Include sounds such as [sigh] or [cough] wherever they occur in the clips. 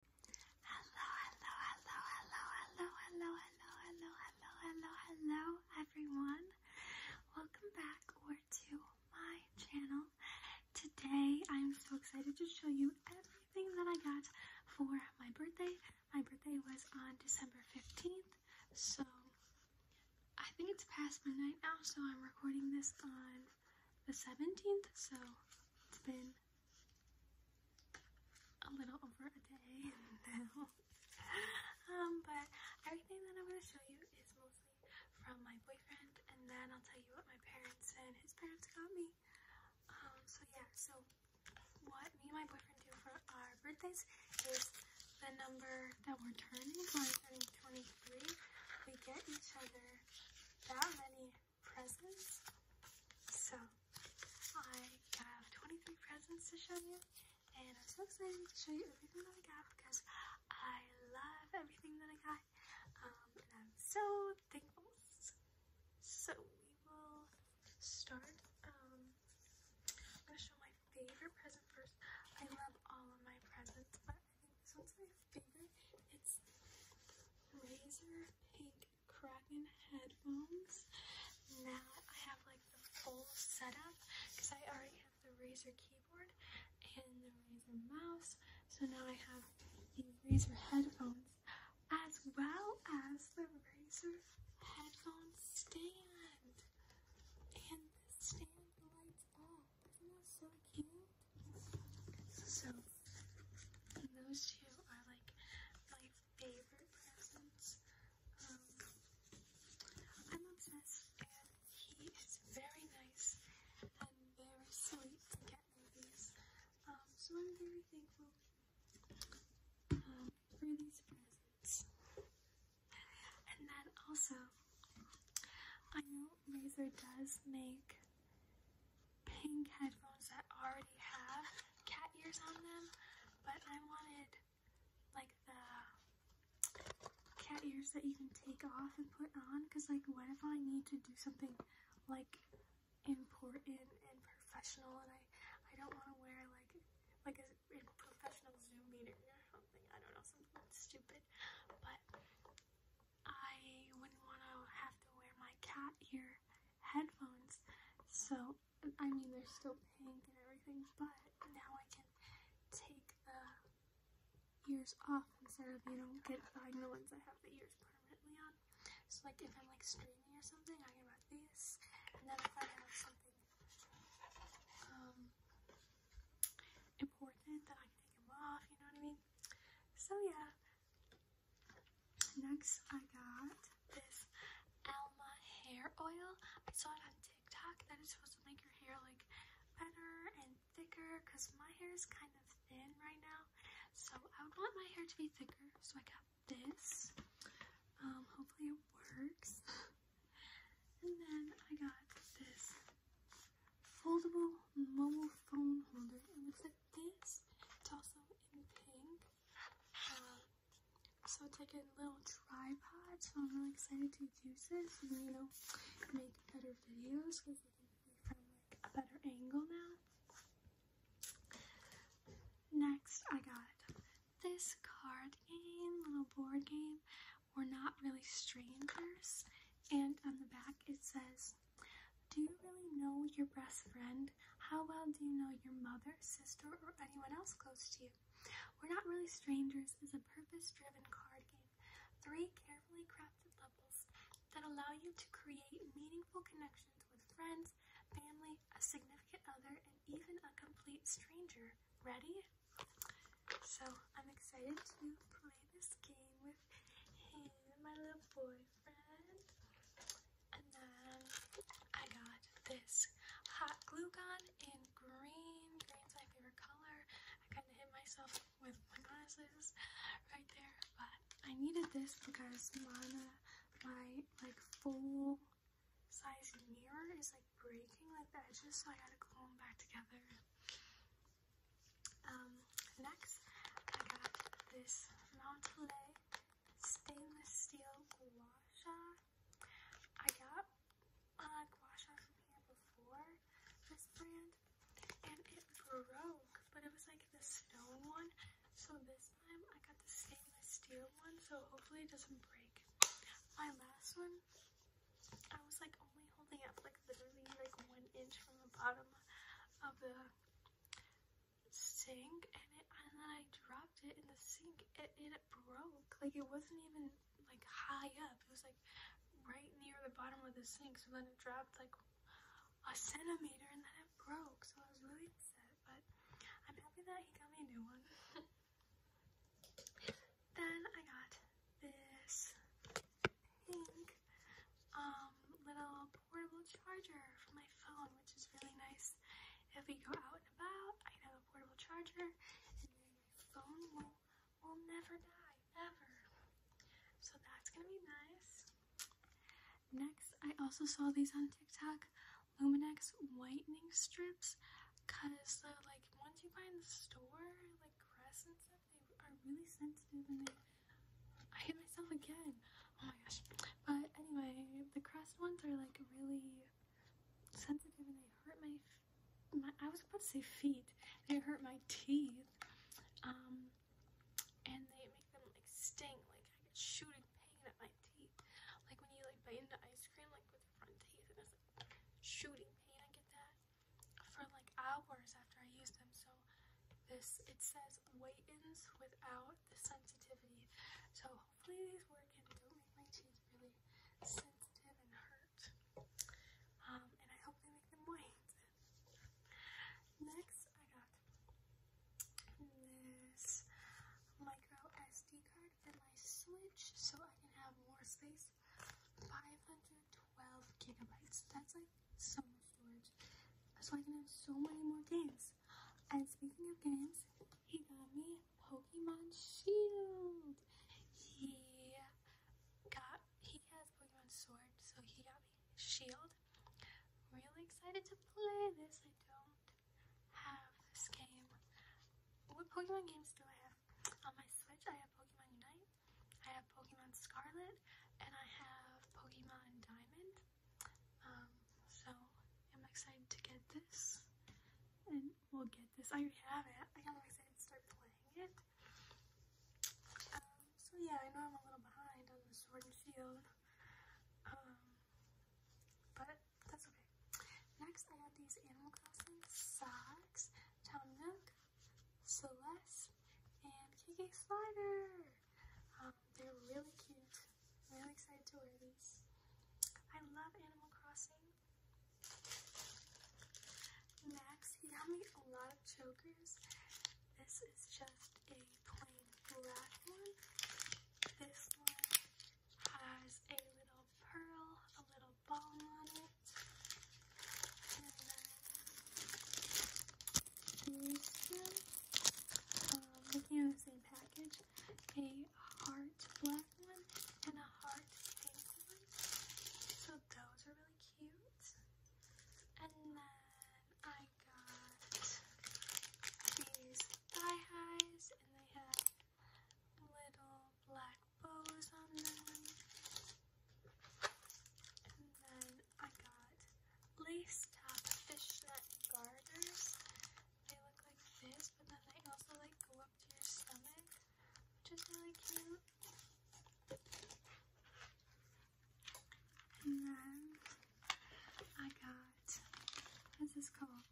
Hello, hello, hello, hello, hello, hello, hello, hello, hello, hello, hello, everyone. Welcome back or to my channel. Today, I'm so excited to show you everything that I got for my birthday. My birthday was on December 15th, so I think it's past midnight now, so I'm recording this on the 17th, so it's been a little over a day [laughs] now. Um, but everything that I'm going to show you is mostly from my boyfriend, and then I'll tell you what my parents and his parents got me. Um, so yeah, so what me and my boyfriend do for our birthdays is the number that we're turning, so turning 23, we get each other that many presents. So I have 23 presents to show you and I'm so excited to show you everything that I got because I love everything that I got um, and I'm so thankful. So we will start. Um, I'm going to show my favorite present first. I love all of my presents but that's my favorite. It's Razor Pink Kraken headphones. Now I have like the full setup because I already have the Razor keyboard and the Razor mouse. So now I have the Razor headphones as well as the Razor headphone stand. And the stand lights it's so cute? So, those two are like my favorite presents. Um, I'm obsessed, and he is very nice and very sweet to get me these. so I'm very thankful for these presents. And then also, I know Razor does make pink headphones that already have cat ears on them, but I wanted like the cat ears that you can take off and put on because like what if I need to do something like important and professional and I, I don't want to wear like like a, a professional Zoom meeting or something. I don't know, something stupid. But I wouldn't want to have to wear my cat ear headphones. So, I mean, they're still pink and everything, but now I can take the ears off instead of, you know, get buying the ones that have the ears permanently on. So, like, if I'm, like, streaming or something, I can wear these, and then if I have something, um, important that I can take them off, you know what I mean? So yeah. Next I got this Alma hair oil. I saw it on TikTok that it's supposed to make your hair like better and thicker because my hair is kind of thin right now. So I would want my hair to be thicker. So I got this. Um, hopefully it works. [laughs] And then I got this foldable mobile phone holder. It looks like this. It's also in pink. Um, so it's like a little tripod. So I'm really excited to use this and you know make better videos because it can be from like a better angle now. Next, I got this card game, little board game we're not really strangers. And on the back it says, Do you really know your best friend? How well do you know your mother, sister, or anyone else close to you? We're Not Really Strangers is a purpose driven card game. Three carefully crafted levels that allow you to create meaningful connections with friends, family, a significant other, and even a complete stranger. Ready? So I'm excited to play this game with him, my little boyfriend. And then I got this hot glue gun in green. Green's my favorite color. I kind of hit myself with my glasses right there, but I needed this because Mana, my like full size mirror is like breaking like the edges, so I gotta glue them back together. Um, next, I got this Montelet stainless steel gua I got uh, gua from here before this brand, and it broke, but it was like the stone one. So this time I got the stainless steel one, so hopefully it doesn't break. My last one I was like only holding up like literally like one inch from the bottom of the sink and it and then I dropped it in the sink and it broke. Like it wasn't even like high up. It was like right near the bottom of the sink. So then it dropped like a centimeter and then it broke. So I was really upset. But I'm happy that he got me a new one. [laughs] Then I got this pink um, little portable charger for my phone, which is really nice. If we go out and about, I have a portable charger, and my phone will never die, ever. So that's gonna be nice. Next, I also saw these on TikTok. Luminex whitening strips because uh, like once you buy in the store, like Crest and stuff, they are really sensitive and they I hit myself again. Oh my gosh. But anyway, the Crest ones are like really sensitive and they hurt my my I was about to say feet. They hurt my teeth. Um and they make them like sting, like I get shooting pain at my like when you like bite into ice cream, like with front teeth, and it's like shooting pain. I get that for like hours after I use them. So this it says whitens without the sensitivity. So hopefully these work and don't make my teeth really sensitive and hurt. Um, and I hope they make them white. Next, I got this micro SD card card my Switch so I can have more space. 512 gigabytes. That's like so much storage. So I can have so many more games. And speaking of games, he got me Pokemon Shield. He got he has Pokemon Sword, so he got me Shield. Really excited to play this. I don't have this game. What Pokemon games do I have? On my Switch, I have Pokemon Unite, I have Pokemon Scarlet, and I have Pokemon Diamond. Um, so I'm excited to get this, and we'll get this. I already have it. I got excited to start playing it. Um, so yeah, I know I'm a little behind on the Sword and Shield, um, but that's okay. Next, I got these animal crossing socks, Town Milk, Celeste, and KK Slider. Um, they're really cute. I'm really excited to wear these. I love Animal Crossing. Next, he got me a lot of chokers. This is just a plain black one. This one has a little pearl, a little balm on it. And then looking at the same package, a heart black one and a heart pink one. So those are really cute. And then I got these thigh highs, and they have little black bows on them. And then I got lace top fishnet garters. They look like this, but then they also like go up to your stomach, which is really cute. And then I got, what is this called?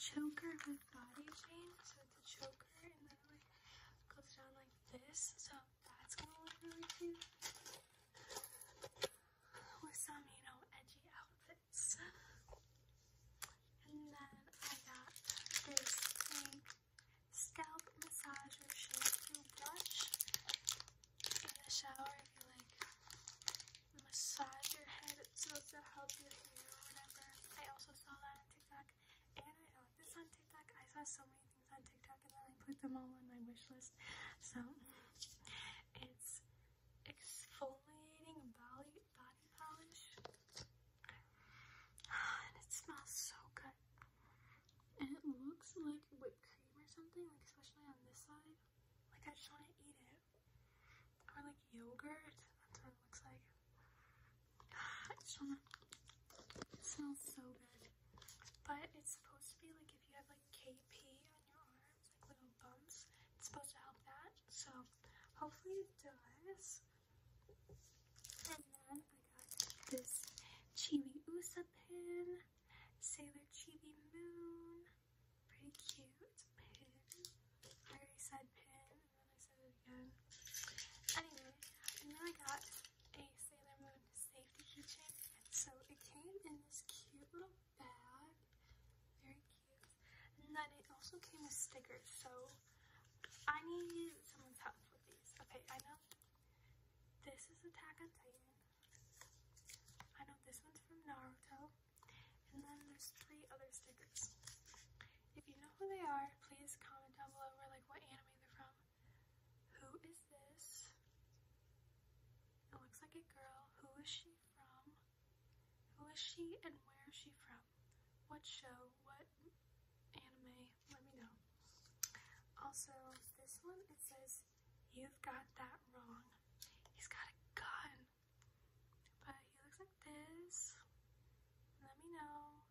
Choker with body chain. So it's a choker and then it like goes down like this. So that's gonna look really cute. With some, you know, edgy outfits. And then I got this scalp massager shampoo brush in the shower if you like massage your head, it's supposed to help your hair or whatever. I also saw that on TikTok, and I got oh, this on TikTok. I saw so many things on TikTok, and then I put them all on my wish list. So it's exfoliating body body polish, and it smells so good and it looks like whipped cream or something, like especially on this side. Like I just want to eat it. Or like yogurt. That's what it looks like. [sighs] I just wanna it smells so good. But it's supposed to be like if you have like KP on your arms, like little bumps, it's supposed to help that. So hopefully it does. And then I got this Chibi Usa pin. Sailor Chibi Moon. Pretty cute. Pin. I already pin, and then I got a Sailor Moon safety keychain. So it came in this cute little bag. Very cute. And then it also came with stickers. So I need someone's help with these. Okay, I know this is Attack on Titan. I know this one's from Naruto. And then there's three other stickers. If you know who they are, please comment down below or like what anime they're from. Who is this? It looks like a girl. Who is she from? Who is she and where is she from? What show? What anime? let me know. Also, this one, it says, You've got that wrong. He's got a gun. But he looks like this. Let me know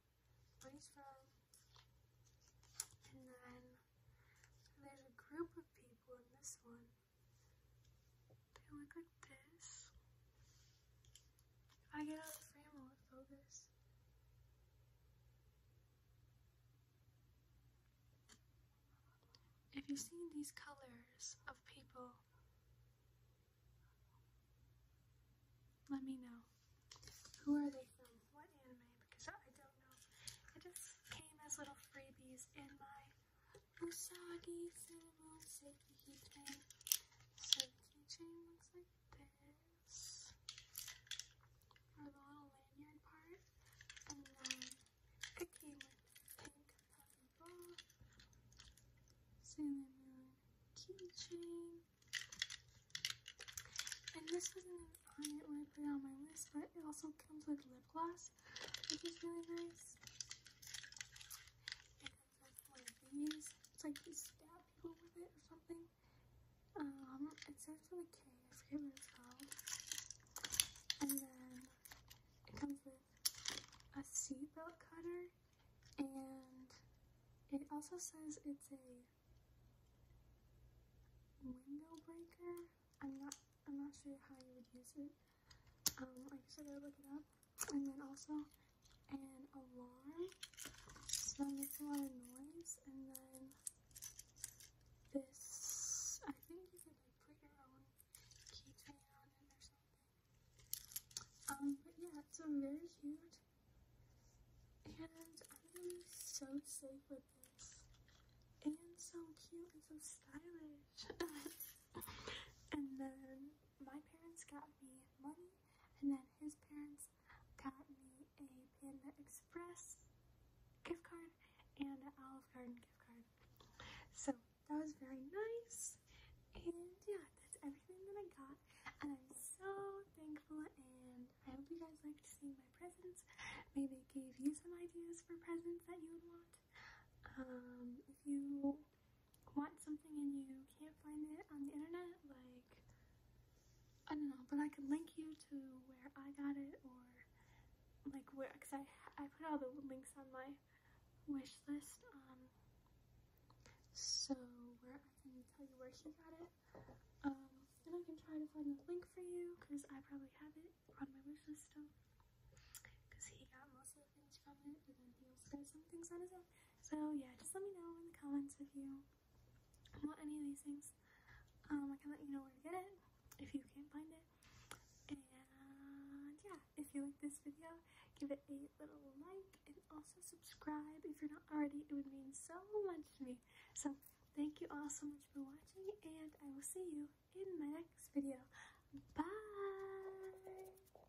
where he's from. And then there's a group of people in this one. They look like this. If I get out of the frame, I'll look if you seen these colors of people, let me know. Who are they from? What anime? Because I don't know. It just came as little freebies in my Usagi Cinnamon Seki Chain. So the looks like this is the little lanyard part, and then it came with pink ball, Sailor keychain, and this wasn't on it when I put it on my list, but it also comes with lip gloss, which is really nice. It comes with these. It's like these lot of people with it or something. Um, it starts with a K. I forget what it's called. And then it comes with a seatbelt cutter. And it also says it's a window breaker. I'm not I'm not sure how you would use it. Um, I guess I to look it up. And then also an alarm so it makes a lot of noise and then this I think you could like put your own keychain on it or Um but yeah so i very cute and I'm so safe with this and so cute and so stylish. [laughs] and then my parents got me money and then his parents got me a Panda Express gift card and an Olive Garden gift card. So that was very nice. And yeah, that's everything that I got. And I'm so thankful and I hope you guys liked seeing my presents. Maybe it gave you some ideas for presents that you would want. Um, if you want something and you can't find it on the internet, like, I don't know, but I could link you to where I got it or like where, cause I, I put all the links on my wish list, um, so where I can tell you where she got it. Um, and I can try to find the link for you because I probably have it on my wish list still because he got most of the things from it and then he also got some things on his own. So yeah, just let me know in the comments if you want any of these things. Um, I can let you know where to get it if you can't find it. And yeah, if you like this video, give it a little like and also subscribe if you're not already. It would mean so much to me. So thank you all so much for watching and I will see you in my next video. Bye!